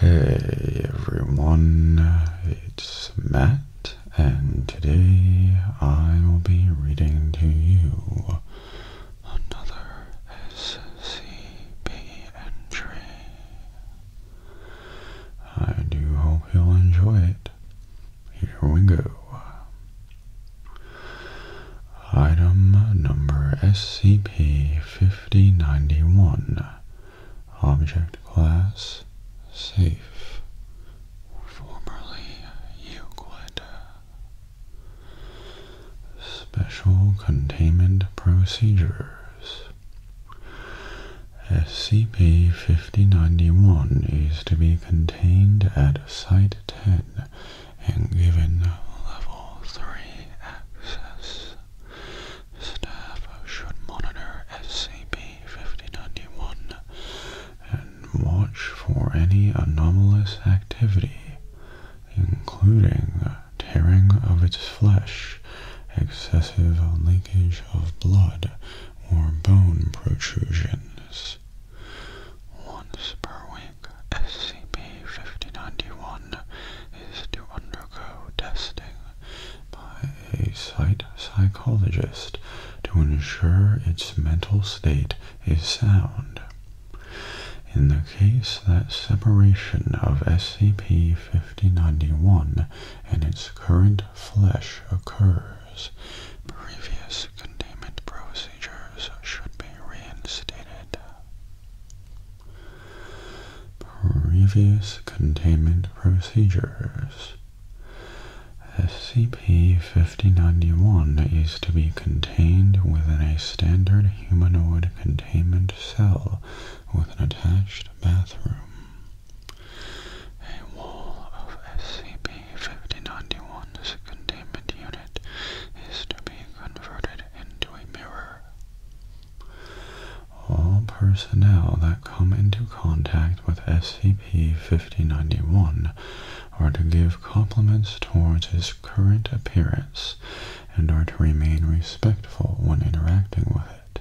Hey everyone, it's Matt, and today I will be reading to you another SCP entry. I do hope you'll enjoy it. Here we go. Item number SCP-5091 Object Class Safe Formerly Euclid Special Containment Procedures SCP-5091 is to be contained at Site 10 and given level 3 access. Staff should monitor SCP-5091 and watch for any anomalous activity, including tearing of its flesh, excessive leakage of blood, or bone protrusions. Once per week, SCP-5091 to undergo testing by a site psychologist to ensure its mental state is sound. In the case that separation of SCP-5091 and its current flesh occurs, previous containment procedures should be reinstated. Previous containment procedures. SCP-5091 is to be contained within a standard humanoid containment cell with an attached bathroom. A wall of SCP-5091's containment unit is to be converted into a mirror all personnel that come into contact with SCP-5091 are to give compliments towards its current appearance and are to remain respectful when interacting with it.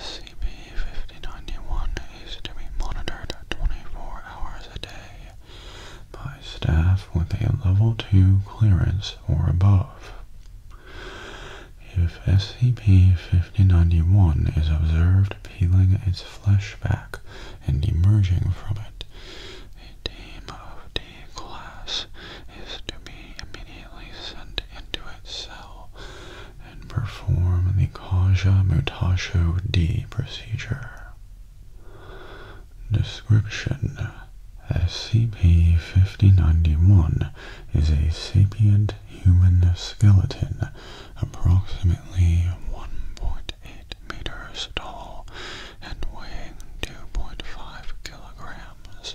SCP-5091 is to be monitored 24 hours a day by staff with a level 2 clearance or above. If SCP-5091 is observed peeling its flesh back and emerging from it, a team of D-Class is to be immediately sent into its cell and perform the Kaja Mutasho D procedure. Description scp 1591 is a sapient human skeleton, approximately 1.8 meters tall and weighing 2.5 kilograms,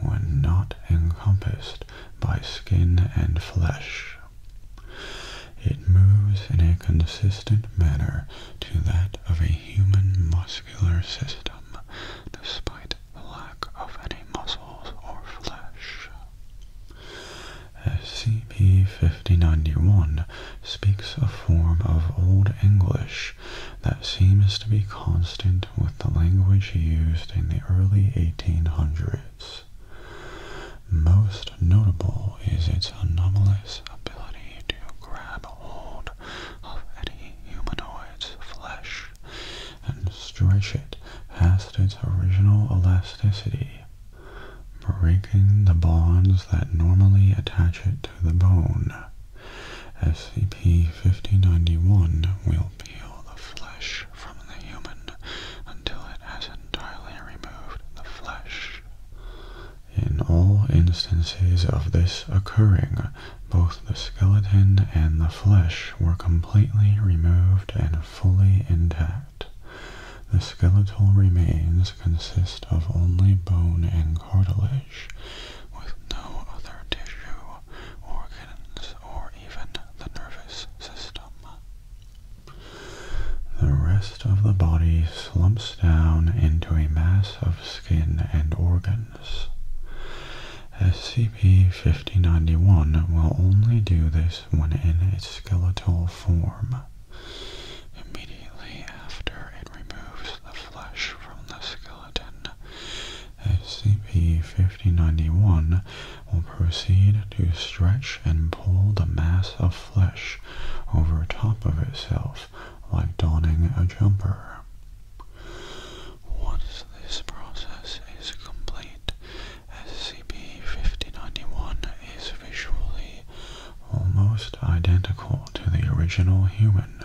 when not encompassed by skin and flesh. It moves in a consistent manner to that of a human muscular system, despite the lack of any muscles or flesh. SCP-5091 speaks a form of Old English that seems to be constant with the language used in the early 1800s. Most notable is its anomalous ability to grab hold of any humanoid's flesh and stretch it past its original elasticity, breaking the bonds that normally attach it to the bone. SCP-5091 will peel the flesh from the human until it has entirely removed the flesh. In all instances of this occurring, both the skeleton and the flesh were completely removed and fully intact. The skeletal remains consist of only bone and cartilage, with no other tissue, organs, or even the nervous system. The rest of the body slumps down into a mass of skin and organs. SCP-5091 will only do this when in its skeletal form. Immediately after it removes the flesh from the skeleton, SCP-5091 will proceed to stretch and pull the mass of flesh over top of itself like donning a jumper. Once this process is complete, SCP-5091 is visually almost identical to the original human.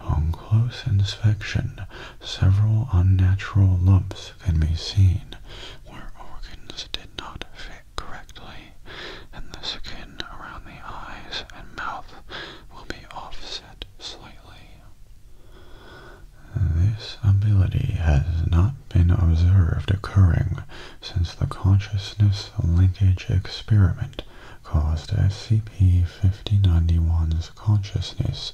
On close inspection, several unnatural lumps can be seen where organs did not fit correctly, and the skin around the eyes and mouth will be offset slightly. This ability has not been observed occurring since the consciousness linkage experiment caused SCP-5091's consciousness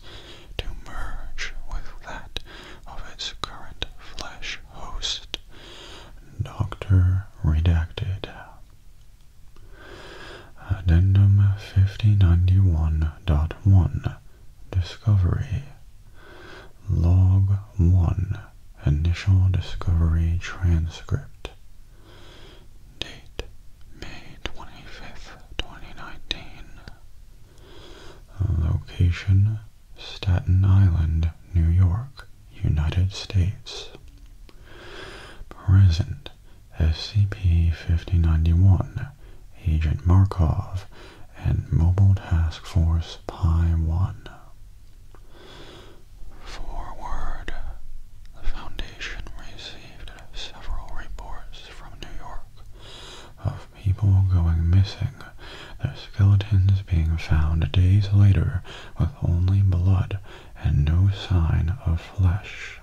to merge with that of its current flesh host, Doctor Redacted. Addendum 5091.1 Discovery Log 1 Initial Discovery Transcript Date May 25th, 2019 Location Staten Island, New York United States. Present SCP-5091, Agent Markov, and Mobile Task Force Pi-1. Forward. The Foundation received several reports from New York of people going missing, their skeletons being found days later with only blood and no sign of flesh.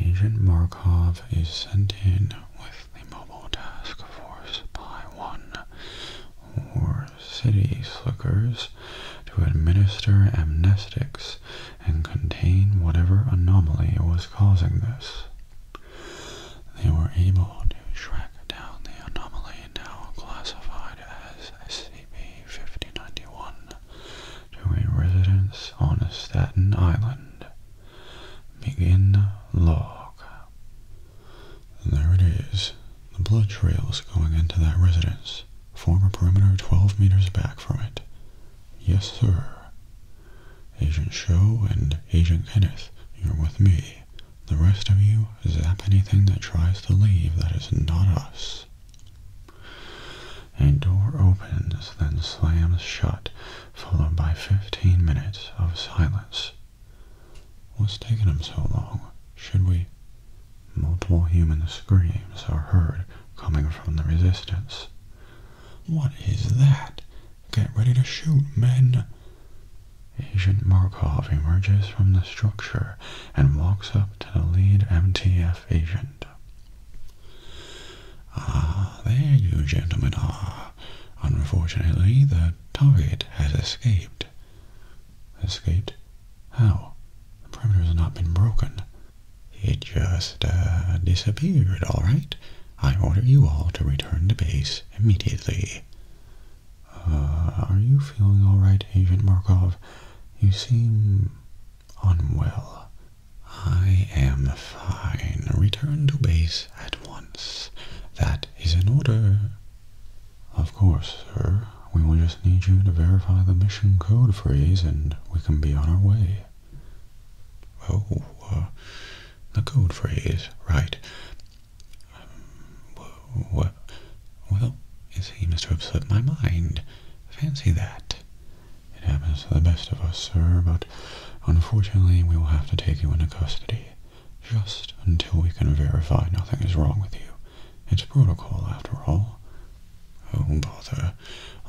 Agent Markov is sent in with the Mobile Task Force by 1, or City Slickers, to administer amnestics and contain whatever anomaly was causing this. They were able to down the anomaly now classified as SCP-5091 to a residence on Staten Island. Begin log. There it is. The blood trails going into that residence form a perimeter 12 meters back from it. Yes, sir. Agent Show and Agent Kenneth, you're with me. The rest of you zap anything that tries to leave that is not us. A door opens, then slams shut, followed by 15 minutes of silence. What's taking them so long? Should we? Multiple human screams are heard coming from the resistance. What is that? Get ready to shoot, men! Agent Markov emerges from the structure and walks up to the lead MTF agent. Ah, there you gentlemen are. Unfortunately, the target has escaped. Escaped? How? The perimeter has not been broken. He just uh, disappeared, all right? I order you all to return to base immediately. Uh, are you feeling alright, Agent Markov? You seem unwell. I am fine. Return to base at once. That is an order. Of course, sir. We will just need you to verify the mission code phrase and we can be on our way. Oh, uh, the code phrase, right. Um, well, you see, Mr. Have slipped my mind. Fancy that. It happens to the best of us, sir, but unfortunately we will have to take you into custody. Just until we can verify nothing is wrong with you. It's protocol, after all. Oh, bother.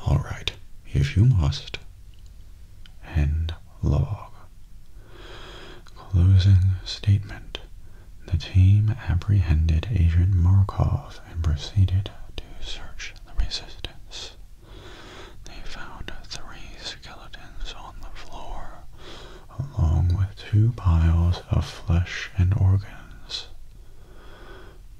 All right, if you must. End log. Closing statement the team apprehended Agent Markov and proceeded to search the resistance. They found three skeletons on the floor, along with two piles of flesh and organs.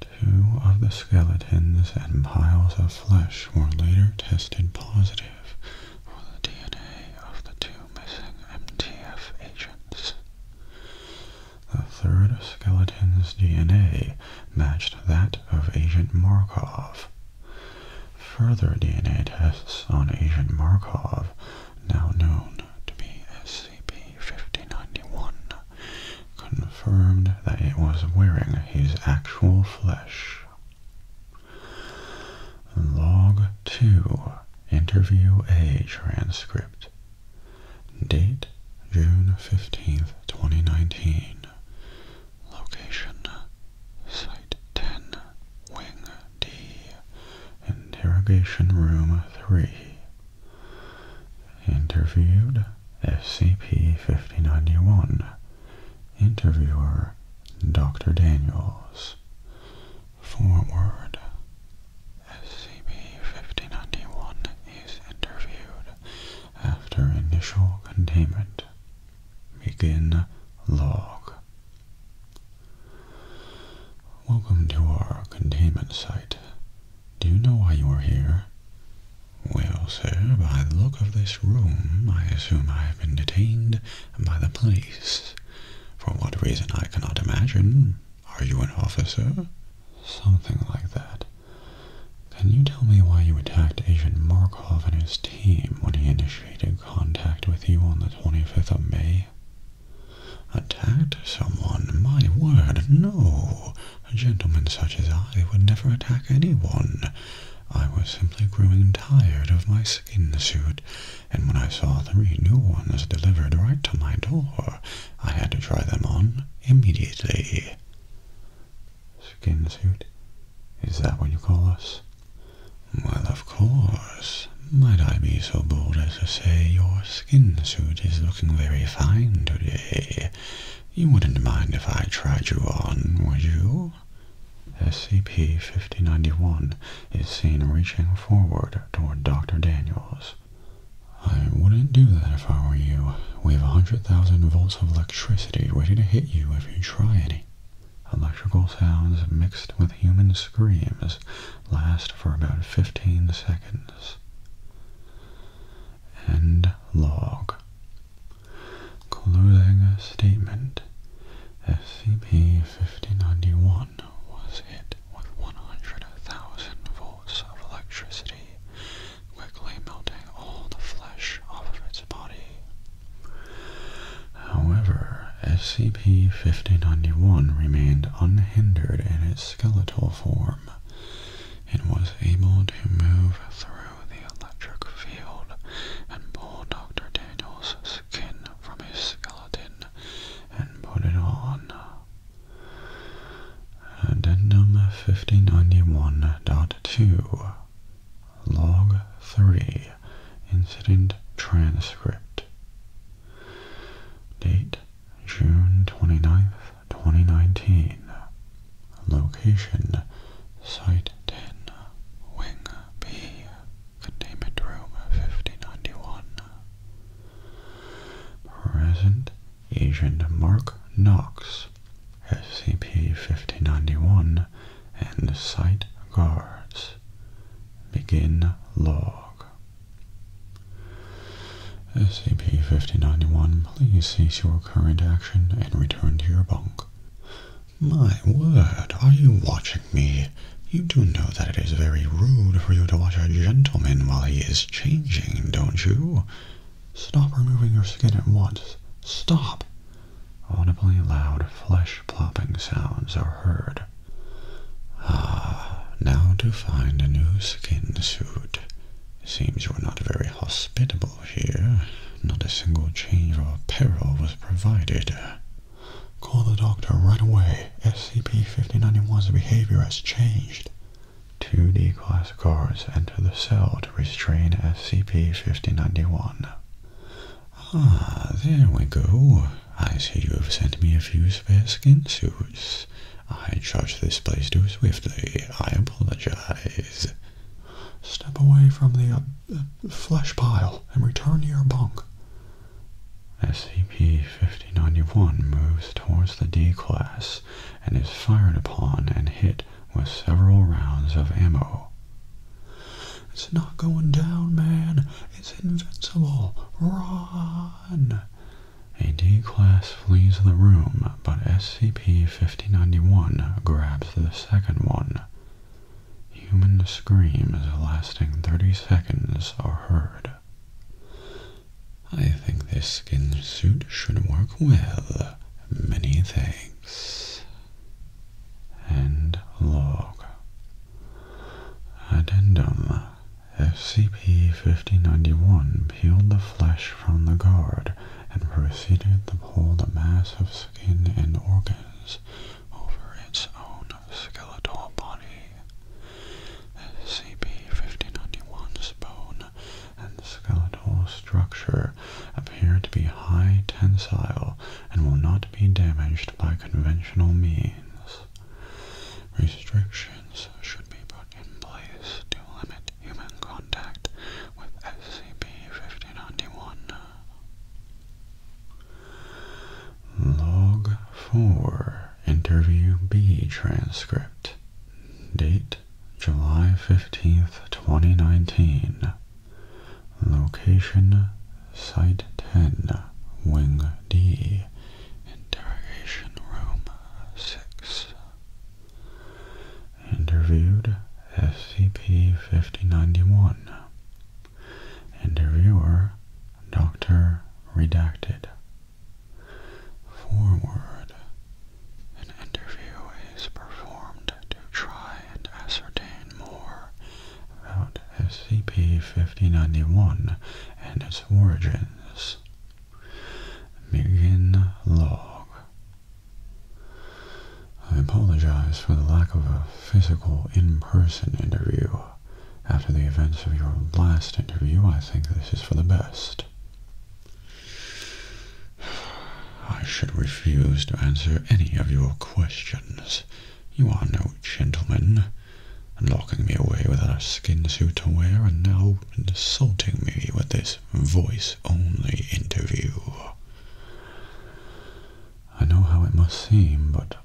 Two of the skeletons and piles of flesh were later tested positive for the DNA of the two missing MTF agents. The third skeleton's DNA matched that of Agent Markov. Further DNA tests on Agent Markov, now known to be SCP-5091, confirmed that it was wearing his actual flesh. Log 2 Interview A transcript. Date June 15th, 2019. Location Site 10, Wing D, Interrogation Room 3. Interviewed SCP-5091. Interviewer Dr. Daniels forward. SCP-5091 is interviewed after initial containment. Begin log. Welcome to our containment site. Do you know why you are here? Well, sir, by the look of this room, I assume I have been detained by the police. For what reason I cannot imagine. Are you an officer? Something like that. Can you tell me why you attacked Agent Markov and his team when he initiated contact with you on the 25th of May? Attacked someone? My word, no! A gentleman such as I would never attack anyone. I was simply growing tired of my skin suit and when I saw three new ones delivered right to my door, I had to try them on immediately. Skin suit? Is that what you call us? Well, of course. Might I be so bold as to say your skin suit is looking very fine today? You wouldn't mind if I tried you on, would you? SCP-5091 is seen reaching forward toward Dr. Daniels. I wouldn't do that if I were you. We have 100,000 volts of electricity waiting to hit you if you try any. Electrical sounds mixed with human screams last for about 15 seconds. End log. Closing statement. SCP-5091 was hit with 100,000 volts of electricity, quickly melting all the flesh off its body. However, SCP-5091 remained unhindered in its skeletal form and was able to move through the electric field and pull Dr. Daniel's skin from his skeleton and put it on. 1591.2 Log 3 Incident Transcript Date June 29, 2019 Location Site 10 Wing B containment room 1591. Present Agent Mark Knox, SCP-1591, and site guards. Begin log. SCP-1591, please cease your current action and return to your bunk. My word, are you watching? me, you do know that it is very rude for you to watch a gentleman while he is changing, don't you? Stop removing your skin at once. Stop! Audibly loud flesh-plopping sounds are heard. Ah, now to find a new skin suit. Seems you are not very hospitable here. Not a single change of apparel was provided. Call the doctor right away. SCP-5091's behavior has changed. 2D class guards enter the cell to restrain SCP-5091. Ah, there we go. I see you have sent me a few spare skin suits. I charge this place to swiftly. I apologize. Step away from the uh, uh, flesh pile and return to your bunk. SCP-5091 moves towards the D-Class and is fired upon and hit with several rounds of ammo. It's not going down, man. It's invincible. Run! A D-Class flees the room, but SCP-5091 grabs the second one. Human screams lasting 30 seconds are heard. I think this skin suit should work well. Many thanks. And log. Addendum. scp fifteen ninety one peeled the flesh from the guard and proceeded to pull the mass of skin and organs over its own skeletal body. SCP-5091's bone and skeletal structure appear to be high tensile and will not be damaged by conventional means. Restrictions should be put in place to limit human contact with scp 1591 Log 4, Interview B transcript. Date July 15th, 2019. Location Site 10, Wing D, Interrogation Room 6. Interviewed SCP 5091 and the reviewer, Dr. Redacted. Forward. An interview is performed to try and ascertain more about SCP-5091 and its origins. Begin log. I apologize for the lack of a physical in-person interview after the events of your last interview, I think this is for the best. I should refuse to answer any of your questions. You are no gentleman, locking me away without a skin suit to wear and now insulting me with this voice-only interview. I know how it must seem, but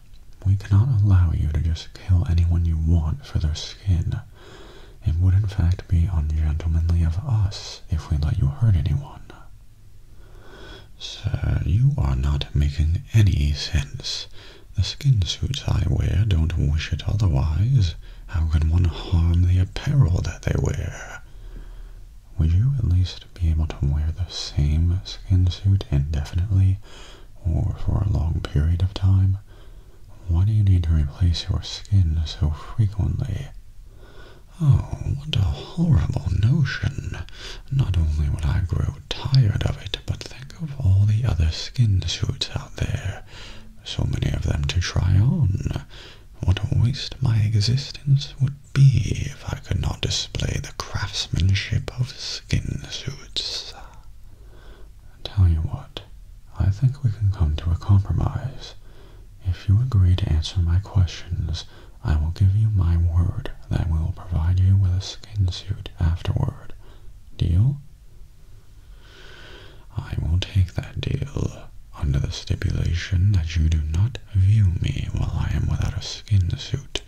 we cannot allow you to just kill anyone you want for their skin. It would in fact be ungentlemanly of us if we let you hurt anyone. Sir, you are not making any sense. The skin suits I wear don't wish it otherwise. How can one harm the apparel that they wear? Would you at least be able to wear the same skin suit indefinitely or for a long period of time, why do you need to replace your skin so frequently? Oh, what a horrible notion. Not only would I grow tired of it, but think of all the other skin suits out there. So many of them to try on. What a waste my existence would be if I could not display the craftsmanship of skin suits. Tell you what, I think we can come to a compromise. If you agree to answer my questions, I will give you my word that we will provide you with a skin suit afterward. Deal? I will take that deal, under the stipulation that you do not view me while I am without a skin suit.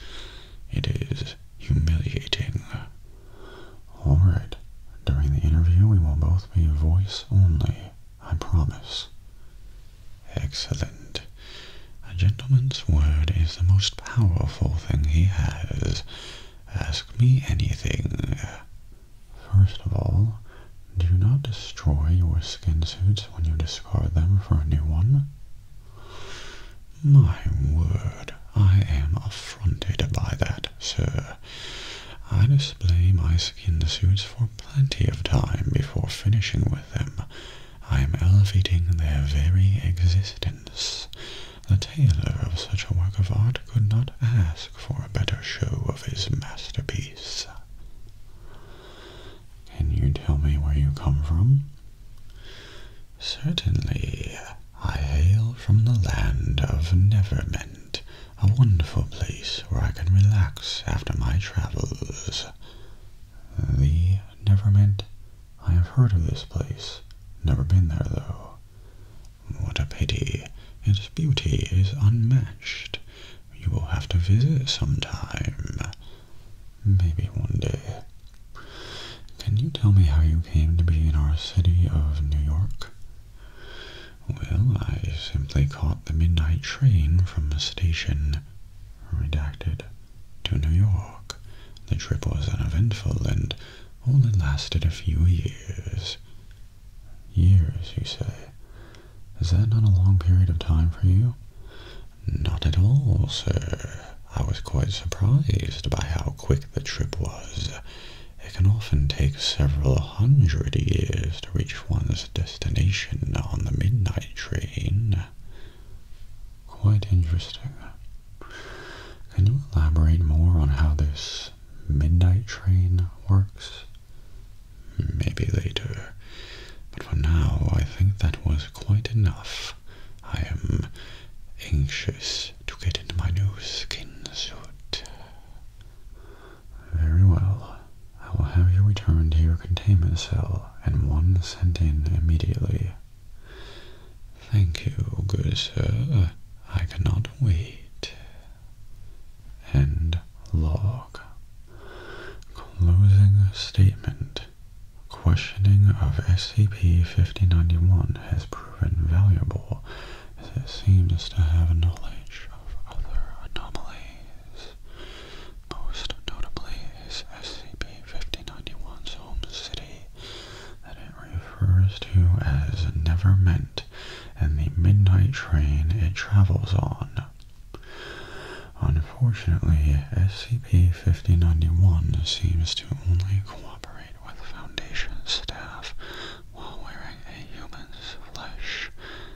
It is humiliating. Alright, during the interview we will both be voice only, I promise. Excellent. A gentleman's word is the most powerful thing he has. Ask me anything. First of all, do not destroy your skin suits when you discard them for a new one. My word, I am affronted by that, sir. I display my skin suits for plenty of time before finishing with them. I am elevating their very existence. The tailor of such a work of art could not ask for a better show of his masterpiece. Can you tell me where you come from? Certainly, I hail from the land of Neverment, a wonderful place where I can relax after my travels. The Neverment? I have heard of this place, never been there though. What a pity, its beauty is unmatched. You will have to visit sometime. Maybe one day. Can you tell me how you came to be in our city of New York? Well, I simply caught the midnight train from the station, redacted, to New York. The trip was uneventful and only lasted a few years. Years, you say? Is that not a long period of time for you? Not at all, sir. I was quite surprised by how quick the trip was. It can often take several hundred years to reach one's destination on the midnight train. Quite interesting. Can you elaborate more on how this midnight train works? Maybe later. But for now, I think that was quite enough. I am anxious to get into my new skin suit. Very well. I will have you returned to your containment cell and one sent in immediately. Thank you, good sir. I cannot wait. End log. Closing statement questioning of SCP-5091 has proven valuable as it seems to have knowledge of other anomalies. Most notably is SCP-5091's home city that it refers to as Neverment and the midnight train it travels on. Unfortunately, SCP-5091 seems to only cooperate with Foundation staff while wearing a human's flesh,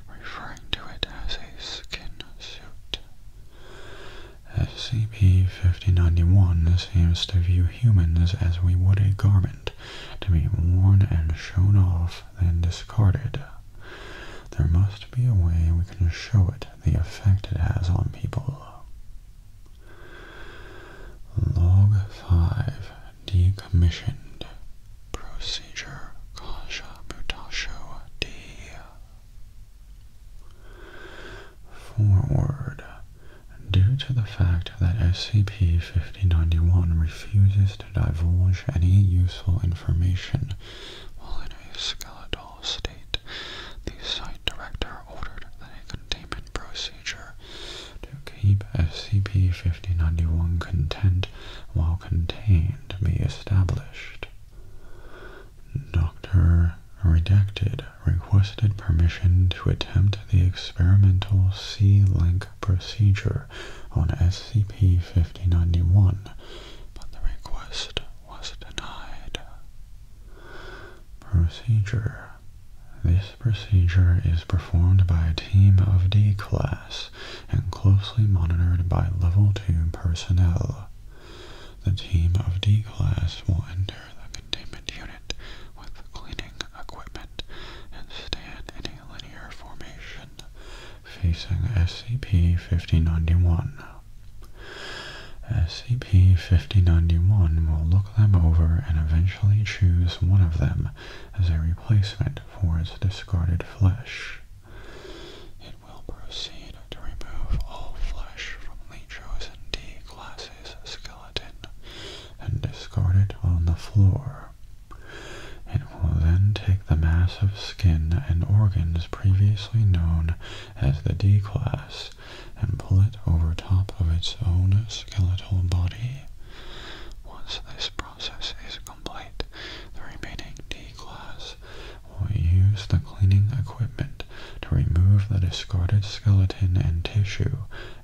referring to it as a skin suit. SCP-5091 seems to view humans as we would a garment, to be worn and shown off, then discarded. There must be a way we can show it the effect it has on people. Log 5 Decommissioned Procedure Forward. Due to the fact that SCP-5091 refuses to divulge any useful information state, the site director ordered that a containment procedure to keep SCP-5091 content while contained be established. Dr. Redacted requested permission to attempt the experimental C-link procedure on SCP-5091, but the request was denied. Procedure. This procedure is performed by a team of D-Class and closely monitored by Level 2 personnel. The team of D-Class will enter the containment unit with cleaning equipment and stand in a linear formation facing scp 1591 SCP-5091 will look them over and eventually choose one of them as a replacement for its discarded flesh. It will proceed to remove all flesh from the chosen D-Class's skeleton and discard it on the floor. It will then take the mass of skin and organs previously known as the D-Class and pull it over top of its own skeletal body. Once this process is complete, the remaining D-class will use the cleaning equipment to remove the discarded skeleton and tissue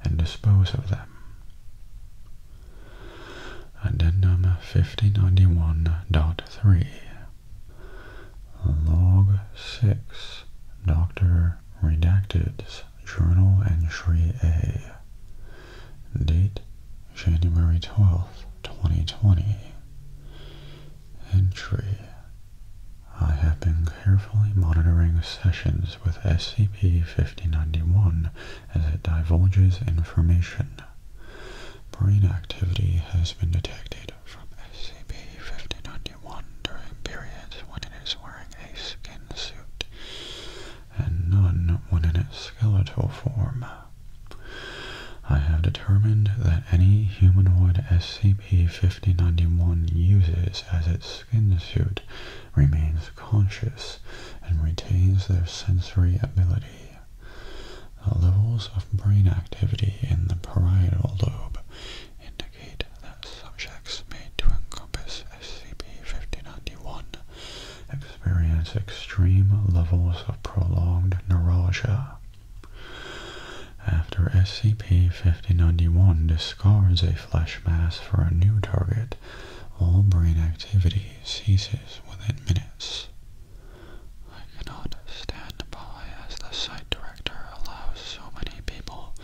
and dispose of them. Addendum 1591.3. Log 6 Dr. Redacted's Journal Entry A Date January 12th, 2020 Entry I have been carefully monitoring sessions with SCP-5091 as it divulges information. Brain activity has been detected from SCP-5091 during periods when it is wearing a skin suit, and none when in its skeletal form. I have determined that any humanoid SCP-5091 uses as its skin suit remains conscious and retains their sensory ability. The Levels of brain activity in the parietal lobe indicate that subjects made to encompass SCP-5091 experience extreme levels of prolonged neuralgia. After SCP-5091 discards a flesh mass for a new target, all brain activity ceases within minutes. I cannot stand by as the site director allows so many people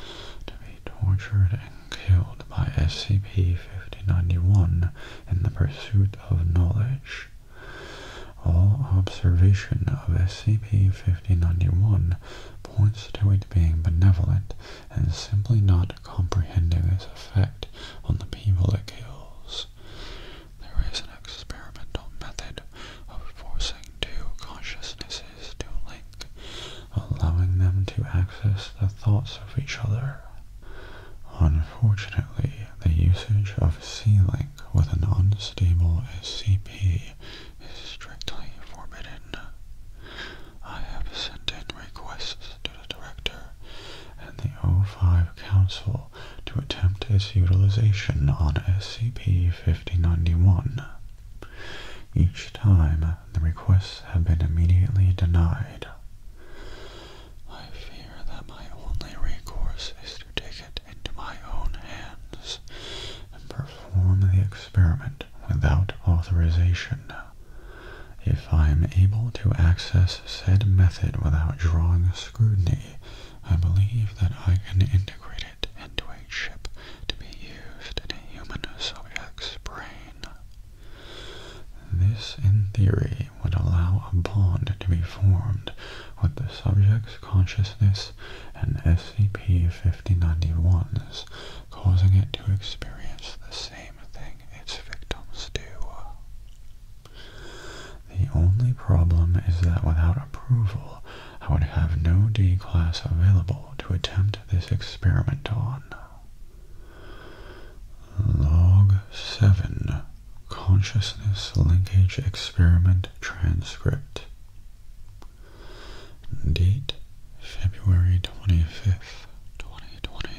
to be tortured and killed by scp 1591 in the pursuit of knowledge. All observation of scp 1591 points to it being benevolent and simply not comprehending its effect on the people it kills. There is an experimental method of forcing two consciousnesses to link, allowing them to access the thoughts of each other. Unfortunately, the usage of C-Link with an unstable SCP is strictly forbidden. I have sent in requests to the Director and the O5 Council to attempt its utilization on SCP-5091. Each time, the requests have been immediately denied. I fear that my only recourse is to take it into my own hands and perform the experiment without authorization. If I am able to access said method without drawing scrutiny, I believe that I can integrate it into a ship to be used in a human subject's brain. This, in theory, would allow a bond to be formed with the subject's consciousness and SCP-5091's, causing it to experience the same thing its victims do. The only problem is that without approval, I would have no D-class available to attempt this experiment on. Log 7 Consciousness Linkage Experiment Transcript Date February 25th, 2020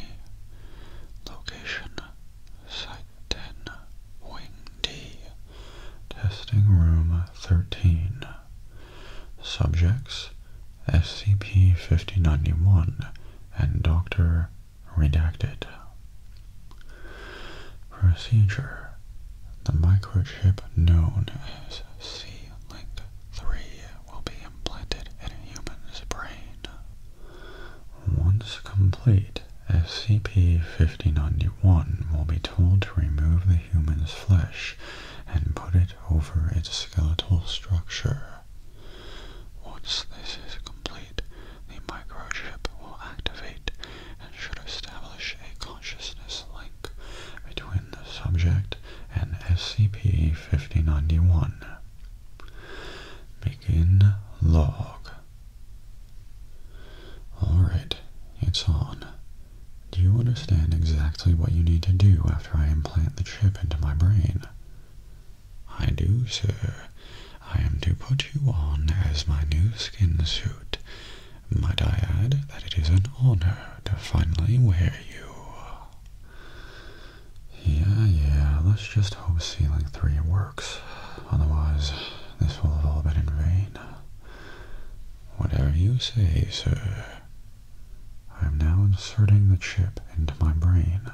Location Site 10 Wing D Testing Room 13 Subjects SCP-5091 and Dr. Redacted Procedure The microchip known as C-Link-3 will be implanted in a human's brain. Once complete, SCP-5091 will be told to remove the human's flesh and put it over its skeletal structure. Once this is complete, the microchip will activate and should establish a consciousness link between the subject and SCP-5091. Begin log. Alright, it's on. Do you understand exactly what you need to do after I implant the chip into my brain? I do, sir. I am to put you on as my new skin suit. Might I add that it is an honor to finally wear you? Yeah, yeah, let's just hope Ceiling 3 works. Otherwise, this will have all been in vain. Whatever you say, sir. I am now inserting the chip into my brain,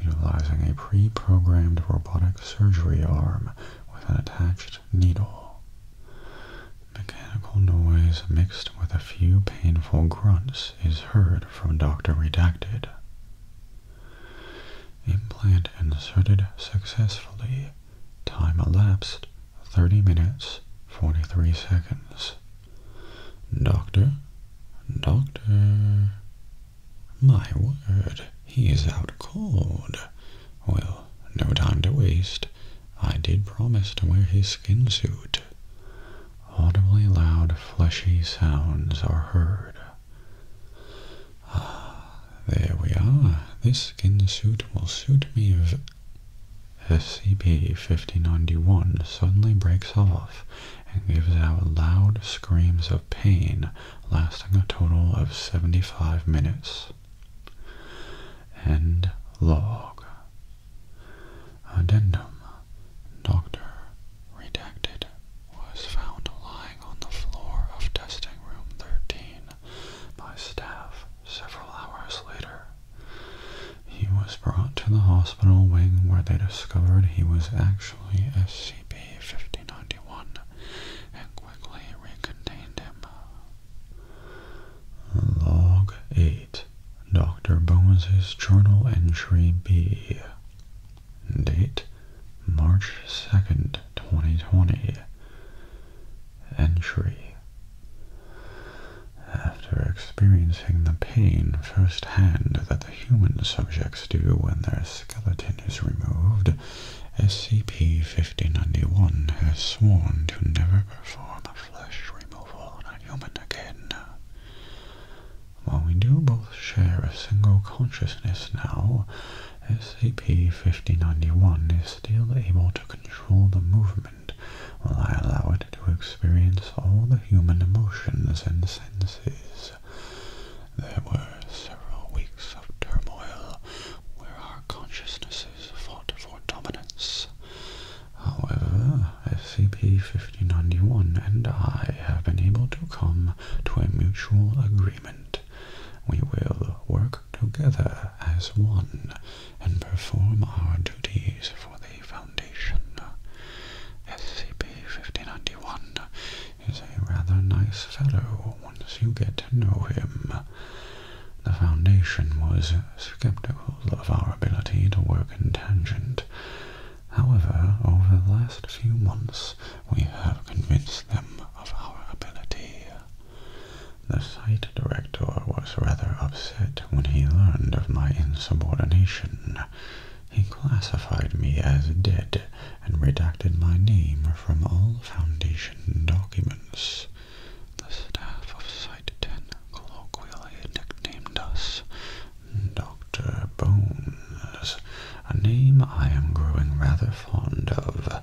utilizing a pre-programmed robotic surgery arm with an attached needle. Mechanical noise mixed with a few painful grunts is heard from Dr. Redacted. Implant inserted successfully. Time elapsed 30 minutes 43 seconds. Doctor, doctor. My word, he is out cold. Well, no time to waste. I did promise to wear his skin suit. Audibly loud, fleshy sounds are heard. Ah, There we are. This skin suit will suit me if SCP-5091 suddenly breaks off and gives out loud screams of pain lasting a total of 75 minutes. End log. Addendum. Doctor Redacted was found lying on the floor of testing room 13 by staff several hours later. He was brought to the hospital wing where they discovered he was actually scp 1591 and quickly recontained him. Log 8 Dr. Bones's Journal Entry B Date March 2nd, 2020 entry. After experiencing the pain firsthand that the human subjects do when their skeleton is removed, SCP-5091 has sworn to never perform a flesh removal on a human again. While we do both share a single consciousness now, SCP-5091 is still able to control the movement while I allow it to experience all the human emotions and senses. There were several weeks of turmoil where our consciousnesses fought for dominance. However, SCP-5091 and I have been able to come to a mutual agreement we will work together as one and perform our duties for the Foundation. SCP-5091 is a rather nice fellow once you get to know him. The Foundation was skeptical of our ability to work in tangent. However, over the last few months, we have convinced them of our ability. The site director was rather upset when he learned of my insubordination. He classified me as dead and redacted my name from all Foundation documents. The staff of Site 10 colloquially nicknamed us Dr. Bones, a name I am growing rather fond of.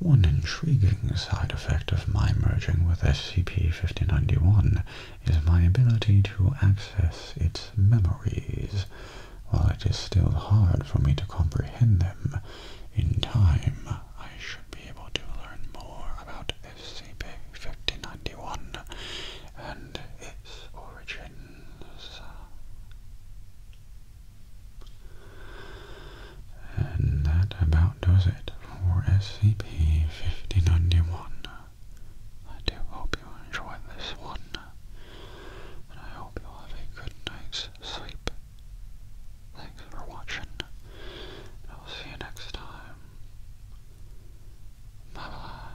One intriguing side effect of my merging with scp 1591 is my ability to access its memories, while it is still hard for me to comprehend them. In time, I should be able to learn more about scp 1591 and its origins. And that about does it for SCP-5091. I do hope you enjoyed this one, and I hope you have a good night's sleep. Thanks for watching, and I'll see you next time. Bye-bye.